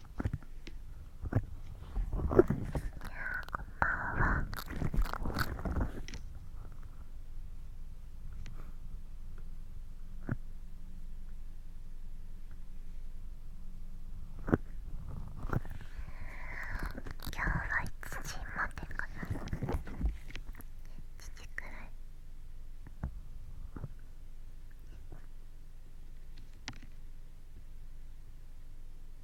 こんんばは。は今日1時までかな1時くらい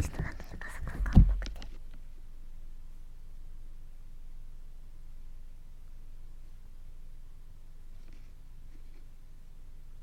ちょっとなんかパソコンが重くて。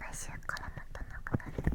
来週からまたなくる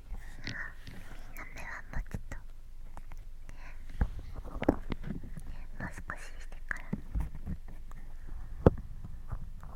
目はもうちょっともう少ししてからあ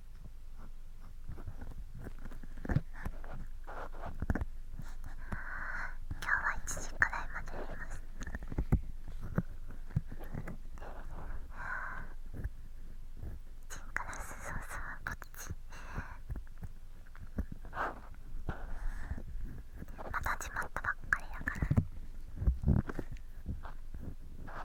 今日は1時くらいまでやりますチンカラスソースはこっちまた始まったばっかりやから今日は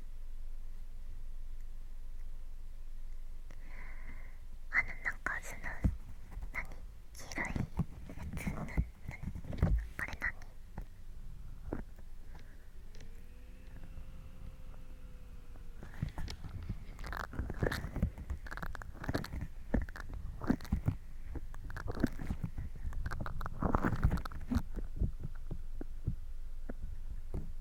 あのなんかその何黄色いやつななこれ何あ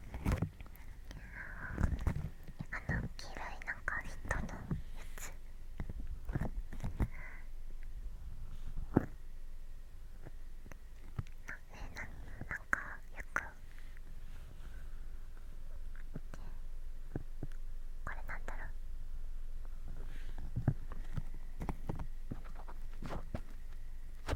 あの黄色いなんか人のやつなねななんかよくこれなんだろうあ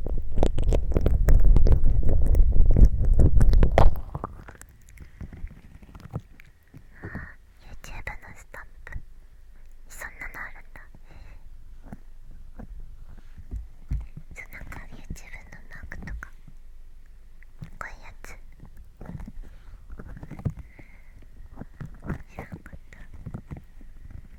あ、のスタンプそんなのあるんだそうなんか YouTube のマークとかこういうやつ知らなかった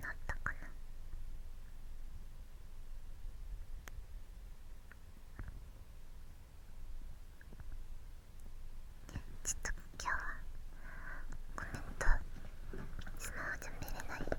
なったかなちょっと今日はコメントマホじゃ見れない。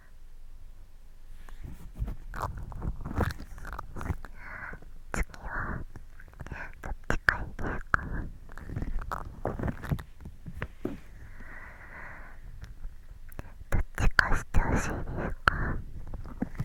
次はどっちかしてほしいですかどっ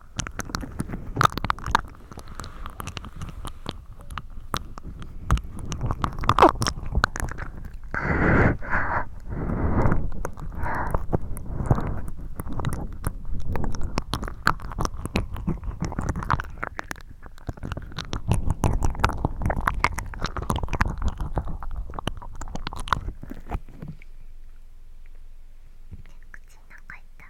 口の中痛い。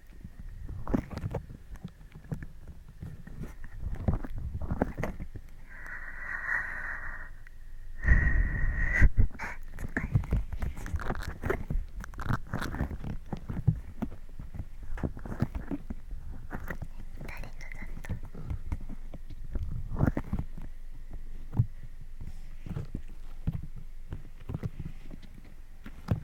誰かが。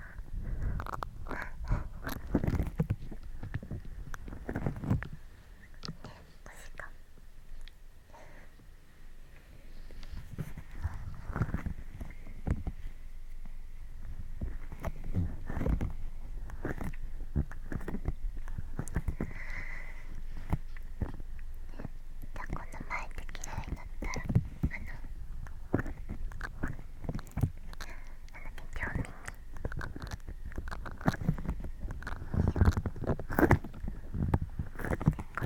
じゃあこの前で嫌いになったらご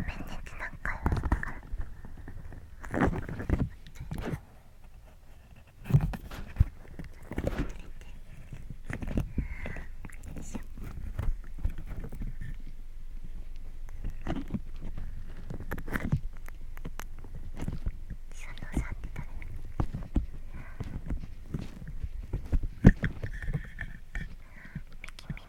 めんねつな回三郎さんって誰ミキミミ後で食べよう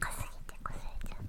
かすぎてこすれちゃう。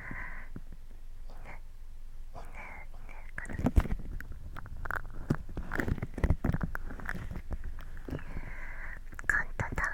カ簡単だ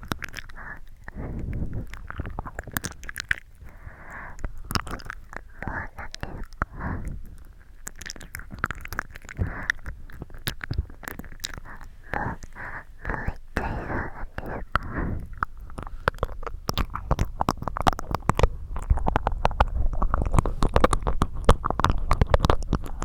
もう一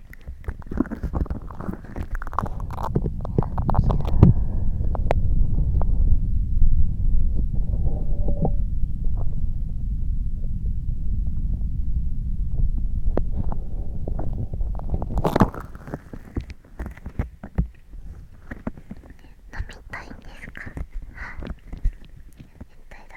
飲みたいんですか絶対だ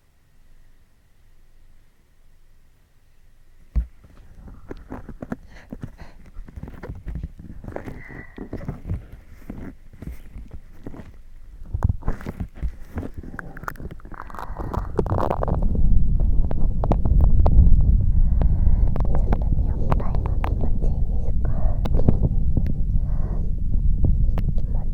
ち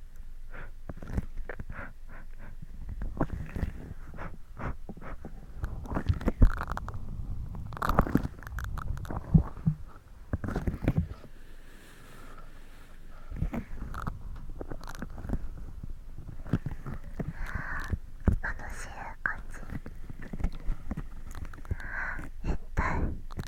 楽しい感じ。一体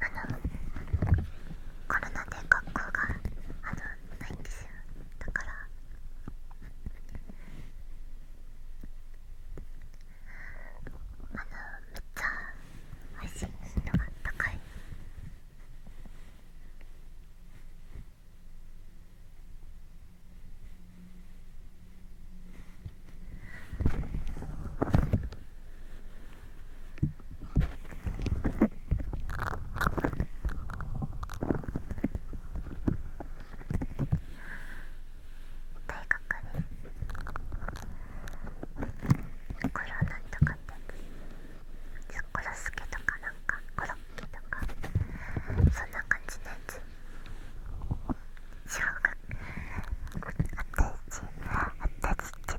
あのコロナで学校があのないんだからあのめっちゃ配信しいのが高い大学にこれはなとかってコロスケとかなんかコロッケとかそんな感じのやつ小学私私ちっち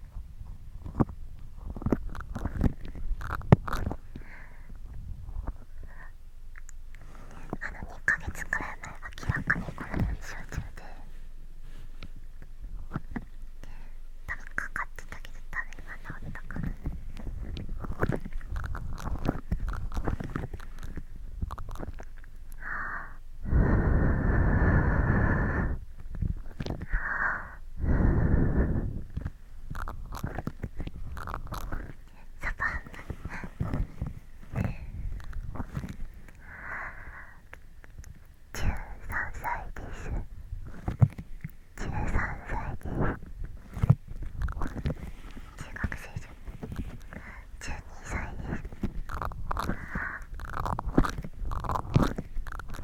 あの2ヶ月くらい前明らかにこのように集中で多分かかってたけど多分今治ったから。あああああああああン歳です13歳です中学生じゃん12歳です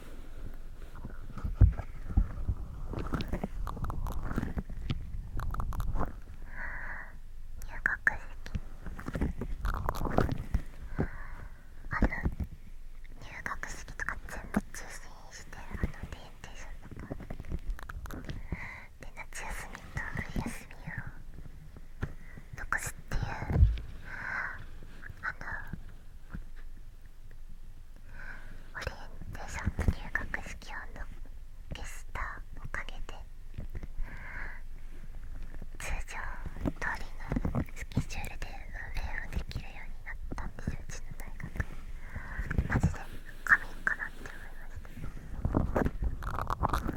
入学式あの入学式とか全部中止してあのデーテーションとかで夏休みと冬休みを残すっていうあのオリエンテーションと入学式用のゲスターおかげで通常通りのスケジュールで運営をできるようになったんですようちの大学マジで神かなって思いました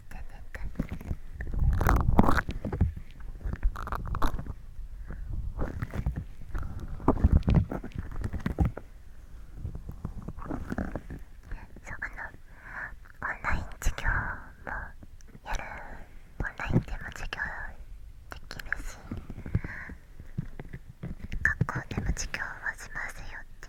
かなそうあのオンライン授業もやるオンラインでも授業できるし学校でも授業はしますよって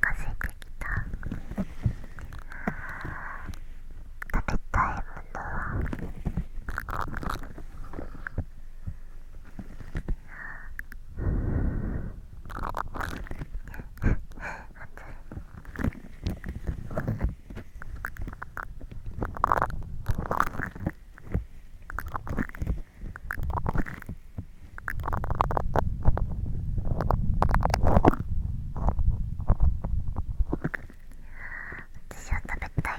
かせてきた食べたいものは。私は食べたい。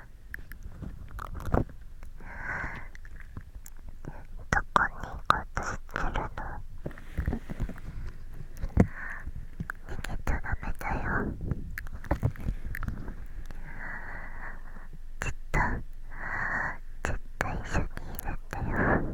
どこに行こうとしてるの逃げちゃダメだよずっとずっと一緒にいるんだよ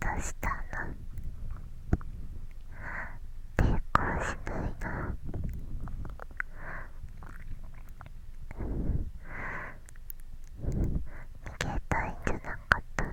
どうしたの抵抗しないな逃げたいんじゃなかったな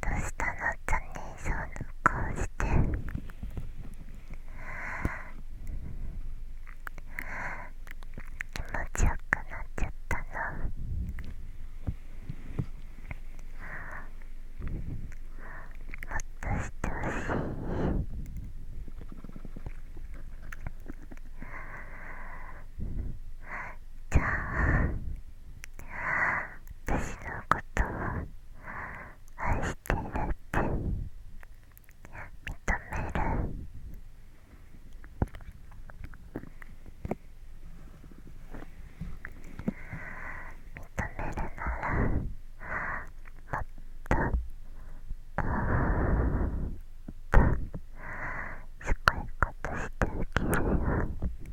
どうしたのちゃんねえそうな顔して気持ちよくなっちゃったのもっとしてほしいじゃあ私のことを愛してるって認める認めるならもっともっとすごいことしてあげるよ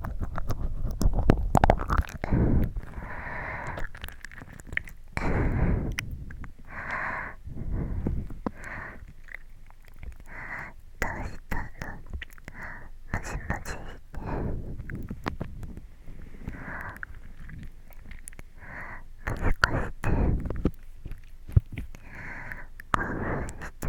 どうしたのマジマて…むずかして興奮しちゃった。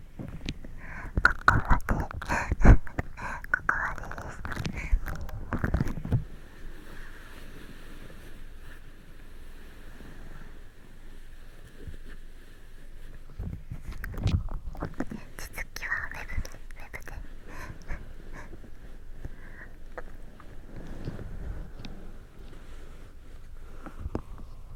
ここまでここまでです続きはウェブでウェブで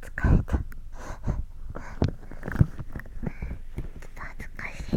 疲れた恥ずかしい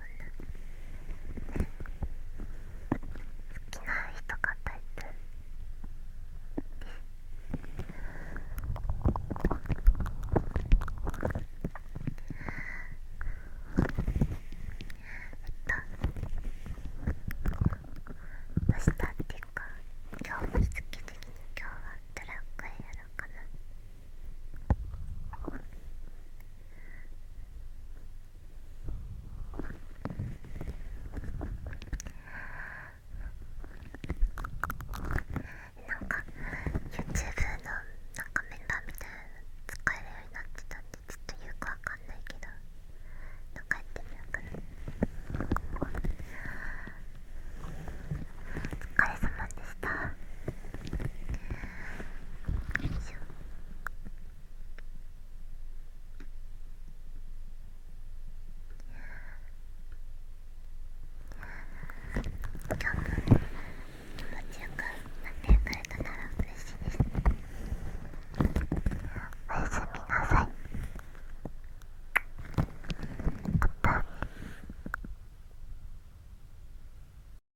という好きな人がタイプです。えっと明日っていうか今日も好き的に今日はトラックやろうかな。なんか YouTube のなんかメンバーみたいなの使えるようになってたんでちょっとよくわかんないけどなんかやってみようかなお疲れ様でしたよいしょ今日もね。気持ちよくなってくれたなら嬉しいですおやすみなさい